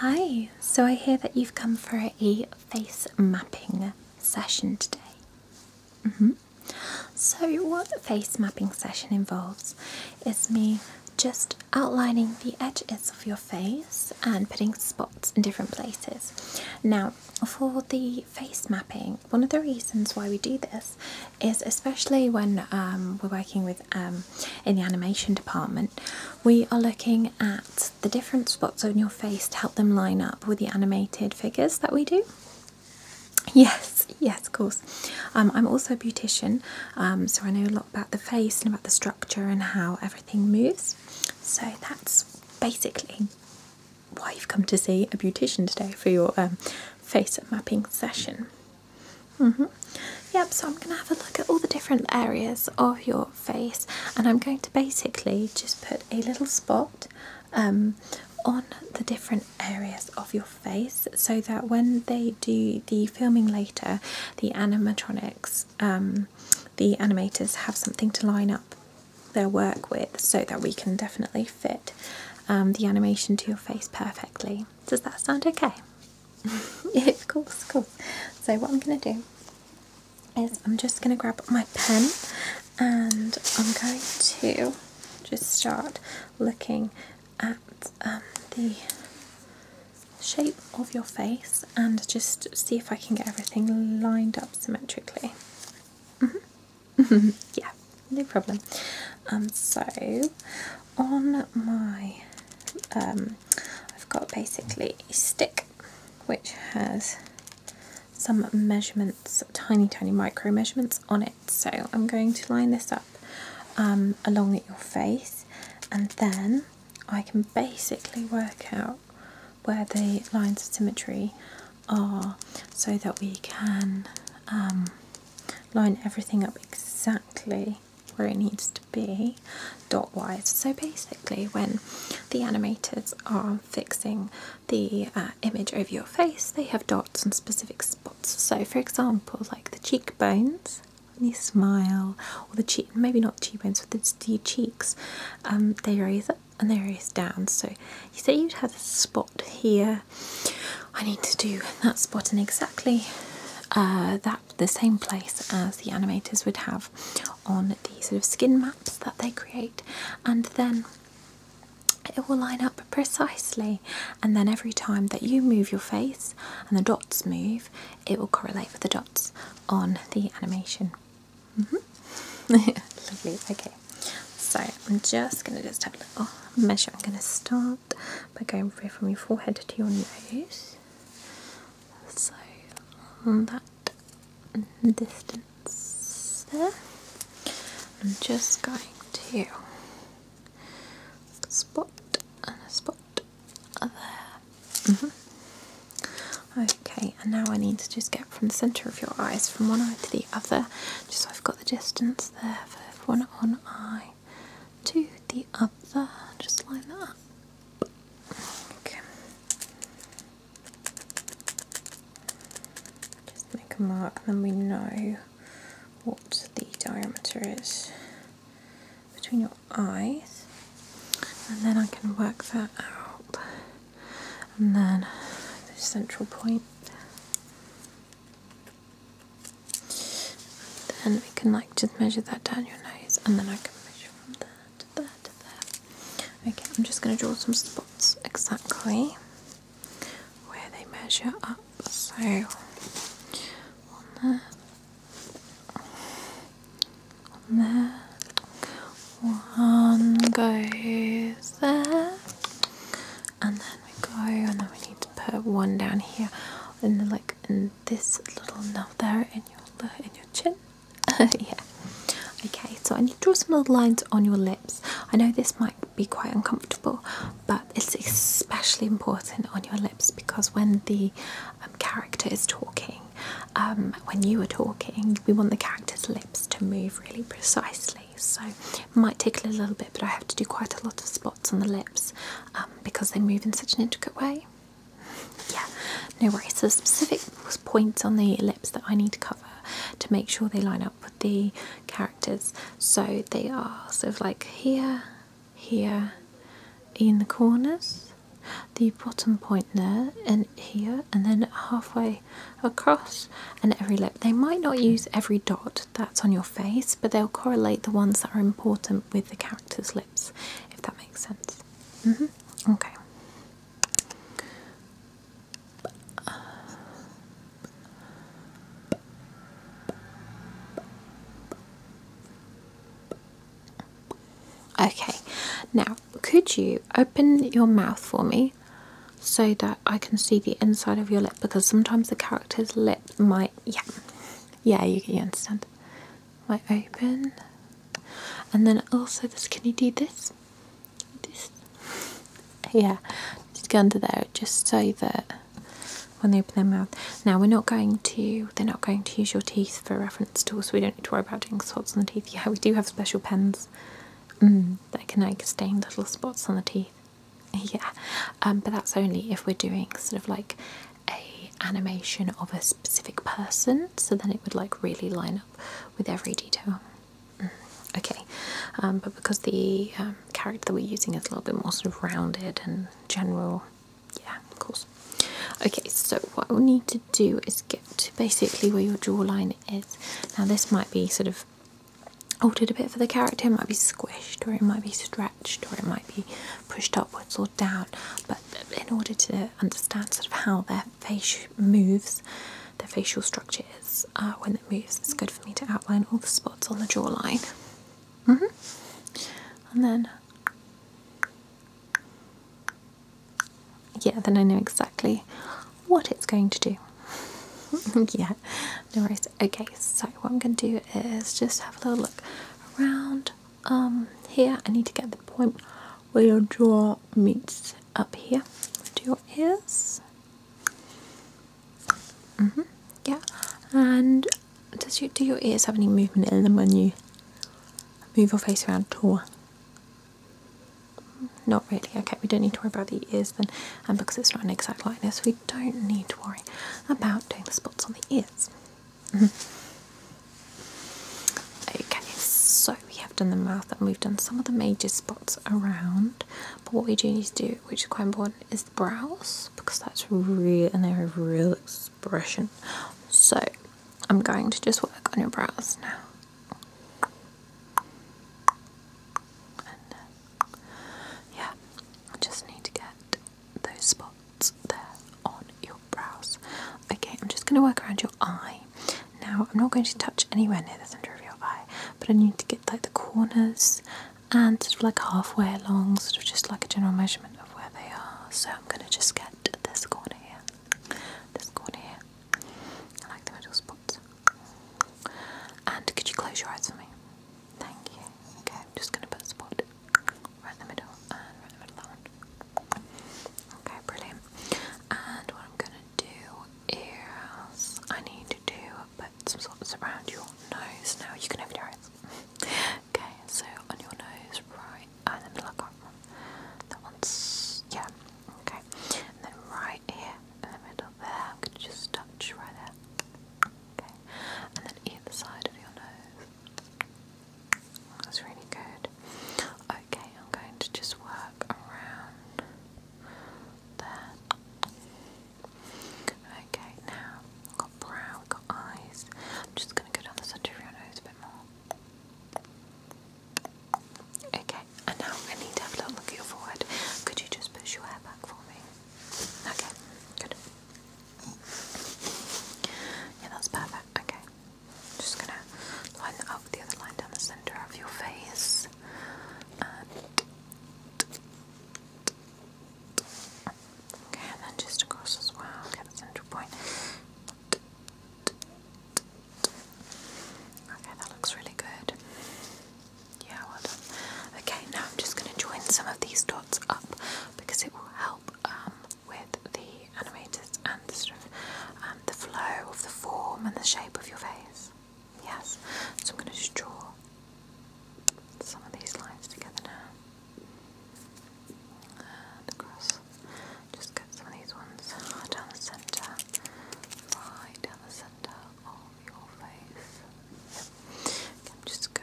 Hi, so I hear that you've come for a face mapping session today. Mm-hmm. So, what the face mapping session involves is me just outlining the edges of your face and putting spots in different places. Now, for the face mapping, one of the reasons why we do this is especially when um, we're working with um, in the animation department, we are looking at the different spots on your face to help them line up with the animated figures that we do. Yes, yes, of course. Um, I'm also a beautician, um, so I know a lot about the face and about the structure and how everything moves. So that's basically why you've come to see a beautician today for your face mapping session. Mm-hmm. Yep, so I'm going to have a look at all the different areas of your face and I'm going to basically just put a little spot um, on the different areas of your face so that when they do the filming later, the animatronics, um, the animators have something to line up their work with so that we can definitely fit um, the animation to your face perfectly. Does that sound okay? yeah, of course, of So what I'm going to do is I'm just going to grab my pen and I'm going to just start looking at um, the shape of your face and just see if I can get everything lined up symmetrically. Mm-hmm. yeah, no problem. Um, so on my um, I've got basically a stick which has some measurements, tiny tiny micro measurements on it. So I'm going to line this up um, along your face and then I can basically work out where the lines of symmetry are so that we can um, line everything up exactly where it needs to be dot wise. So basically, when the animators are fixing the uh, image over your face, they have dots on specific spots. So, for example, like the cheekbones when you smile, or the cheek maybe not cheekbones, but it's the cheeks, um, they raise up and they raise down. So, you say you'd have a spot here. I need to do that spot in exactly uh, that the same place as the animators would have on the sort of skin maps that they create, and then it will line up precisely. And then every time that you move your face and the dots move, it will correlate with the dots on the animation. Mm-hmm. Lovely. Okay, so I'm just going to just take a little measure. I'm going to start by going from your forehead to your nose so that distance there I'm just going to spot and a spot there mm-hmm. okay and now I need to just get from the centre of your eyes from one eye to the other just so I've got the distance there for one eye to the other. Just line that up. Okay. Just make a mark, then we know what the diameter is between your eyes, and then I can work that out. And then the central point. Then we can like just measure that down your nose and then I can measure from there to there to there. Okay, I'm just going to draw some spots exactly where they measure up. So, on there, on there, one goes there, and then we go, and then we need to put one down here in the like and this little knob there in your in your chin. yeah. Okay, so I need to draw some little lines on your lips. I know this might be quite uncomfortable, but it's especially important on your lips because when the um, character is talking, um, when you are talking, we want the character's lips to move really precisely. So it might tickle a little bit, but I have to do quite a lot of spots on the lips um, because they move in such an intricate way. Yeah, no worries. There's specific points on the lips that I need to cover to make sure they line up with the characters. So they are sort of like here, here, in the corners, the bottom point there, and here, and then halfway across, and every lip. They might not use every dot that's on your face, but they'll correlate the ones that are important with the character's lips, if that makes sense. Mm-hmm. Okay. Okay, now could you open your mouth for me so that I can see the inside of your lip? Because sometimes the character's lip might yeah. Yeah, you, you understand. Right, open. And then also this, can you do this? This? Yeah, just go under there just so that when they open their mouth. Now we're not going to, they're not going to use your teeth for reference tools, so we don't need to worry about doing spots on the teeth. Yeah, we do have special pens mm, that can like stain little spots on the teeth. yeah um, but that's only if we're doing sort of like a animation of a specific person so then it would like really line up with every detail mm. okay um, but because the um, character that we're using is a little bit more sort of rounded and general yeah of course okay so what we'll need to do is get to basically where your jawline is now this might be sort of altered a bit for the character. It might be squished, or it might be stretched, or it might be pushed upwards or down. But in order to understand sort of how their face moves, their facial structure is uh, when it moves, it's good for me to outline all the spots on the jawline. Mm-hmm. And then, yeah, then I know exactly what it's going to do. yeah, yeah, no worries. Okay, so what I'm going to do is just have a little look around um, here. I need to get the point where your jaw meets up here to your ears. Mm-hmm. yeah, and does you, do your ears have any movement in them when you move your face around at all? Not really. Okay, we don't need to worry about the ears then, and because it's not an exact likeness, we don't need to worry about doing the spots on the ears. Mm-hmm. okay, so we have done the mouth and we've done some of the major spots around, but what we do need to do, which is quite important, is the brows because that's real an area of real expression. So I'm going to just work on your brows now. Uh, yeah, I just need to get those spots there on your brows. Okay, I'm just going to work around your eye. Now, I'm not going to touch anywhere near the centre of your eye, but I need to get like the corners and sort of like halfway along, sort of just like a general measurement of where they are. So I'm going to just get this corner here, this corner here. I like the middle spots. And could you close your eyes for me? Thank you. Okay, I'm just going to put a spot right in the middle and right in the middle of that one. Okay, brilliant. And what I'm going to do is I need to put some spots around your nose. Now you can open your eyes. okay, so on your nose, right, and then the look up. That one's, yeah, okay. And then right here, in the middle there. I'm just touch right there. Okay. And then either side of your nose. That's really good. Okay, I'm going to just work around there. Okay, now we've got brow, we've got eyes. I'm just going to go down the centre of your nose a bit more. Okay, and now I need to have a little look at your forehead. Could you just push your hair back for me? Okay, good. Yeah, that's perfect. Okay. Just gonna line that up with the other line down the centre of your face. Okay, and then just across as well. Okay, the central point. Okay, that looks really good. Yeah, well done. Okay, now I'm just going to join some of these dots up because it will help um, with the animators and sort of um, the flow of the form and the shape of your face. Yes, so I'm going to just draw some of these lines together now and across. Just get some of these ones down the centre, right down the centre. All I'm just going to go your cheeks. Okay, just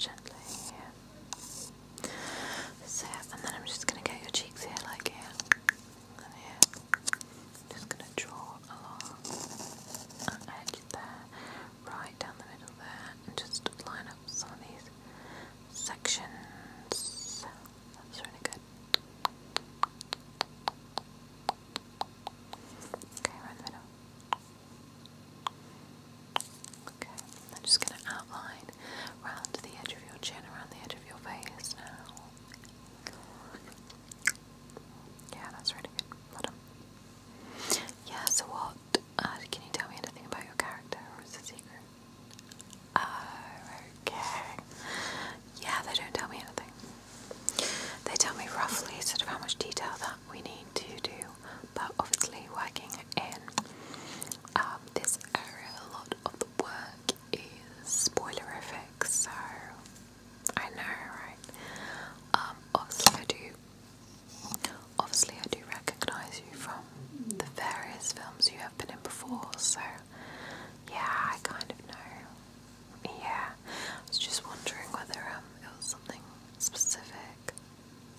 gently here. and then I'm just going to get your cheeks here, like here and here. Just gonna draw along an edge there, right down the middle there, and just line up some of these sections. That's really good. Okay, right the middle. Okay, I'm just going to outline round the edge of your chin, around the edge of your face now. Yeah, that's really good. Yeah, so what? Uh, can you tell me anything about your character, or is it secret? Oh, okay. Yeah, they don't tell me anything. They tell me roughly sort of how much detail that we need to do, but obviously, working in um, this area, a lot of the work is spoilerific, so I know, right? Um, obviously I do obviously I do recognise you from the various films you have been in before, so yeah, I kind of know. Yeah. I was just wondering whether um it was something specific.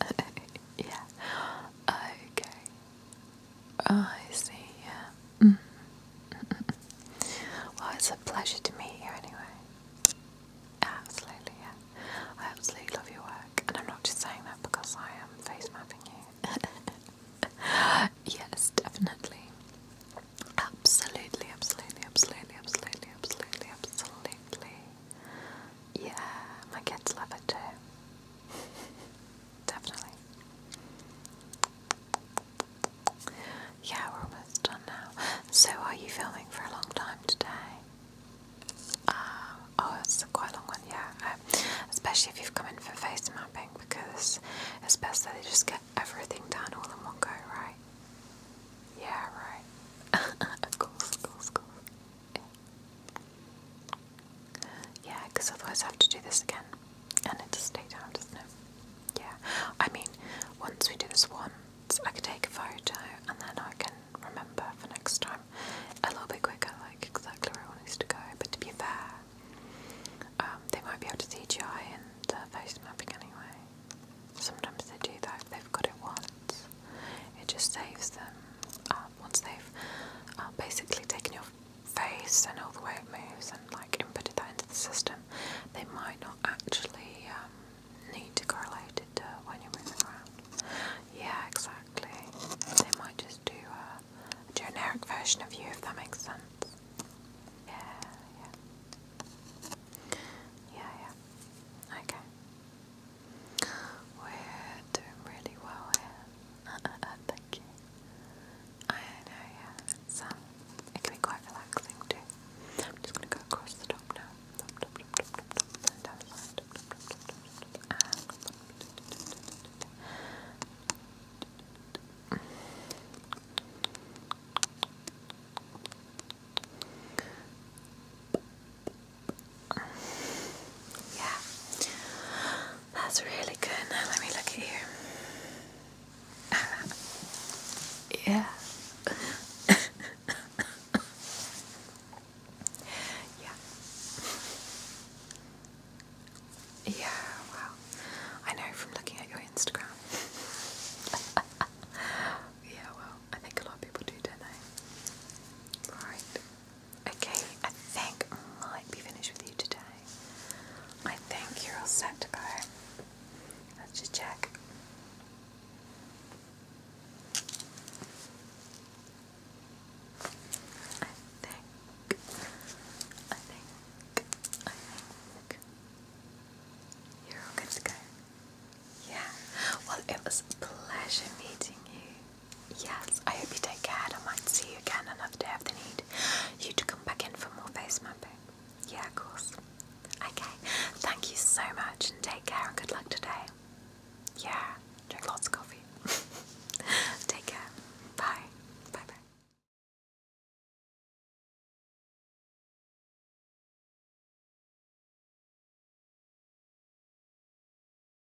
yeah. Okay. Oh, I see, yeah. Mm. well, it's a pleasure to meet you anyway. Absolutely, yeah. I absolutely love your work, and I'm not just saying that because I am face mapping you. yes, definitely. Absolutely, absolutely, absolutely, absolutely, absolutely, absolutely. Yeah, my kids love it too. Definitely. Yeah, we're almost done now. So, are you filming for a long time today? Uh, oh, it's a quite long one, yeah. Um, especially if you've come in for face mapping, because it's best that they just get everything done all in one go, right? Yeah, right. of course, of course, yeah, because otherwise I have to do this again. And it does take time, doesn't it? Yeah. I mean, once we do this once, I could take a photo and then I can remember for next time a little bit quicker, like exactly where I want us to go. But to be fair, um, they might be able to CGI and uh, face mapping anyway. Sometimes they do that if they've got it once. It just saves them uh, once they've uh, basically taken your face and all the way it moves and like inputted that into the system, they might not actually um, need to correlate it to when you're moving around. Yeah, exactly. They might just do a, a generic version of you if that makes sense. Yeah, yeah. Yeah, yeah. Okay. We're doing really well here. Thank you. I know, yeah. It's, it can be quite relaxing too. I'm just going to go across the top now. Yeah, that's really good. Now let me look at you. yeah. yeah. Yeah, wow. I know from looking at your Instagram. yeah, well, I think a lot of people do, don't they? Right. Okay, I think I might be finished with you today. I think you're all set to go. Let's just check. I think, I think, I think you're all good to go. Yeah, well, it was a pleasure meeting you. Yes, I hope you take care and I might see you again another day if they need you to come back in for more face mapping. Yeah, of course. Okay, thank you so much and take care and good luck today. Yeah, drink lots of coffee. take care. Bye. Bye bye.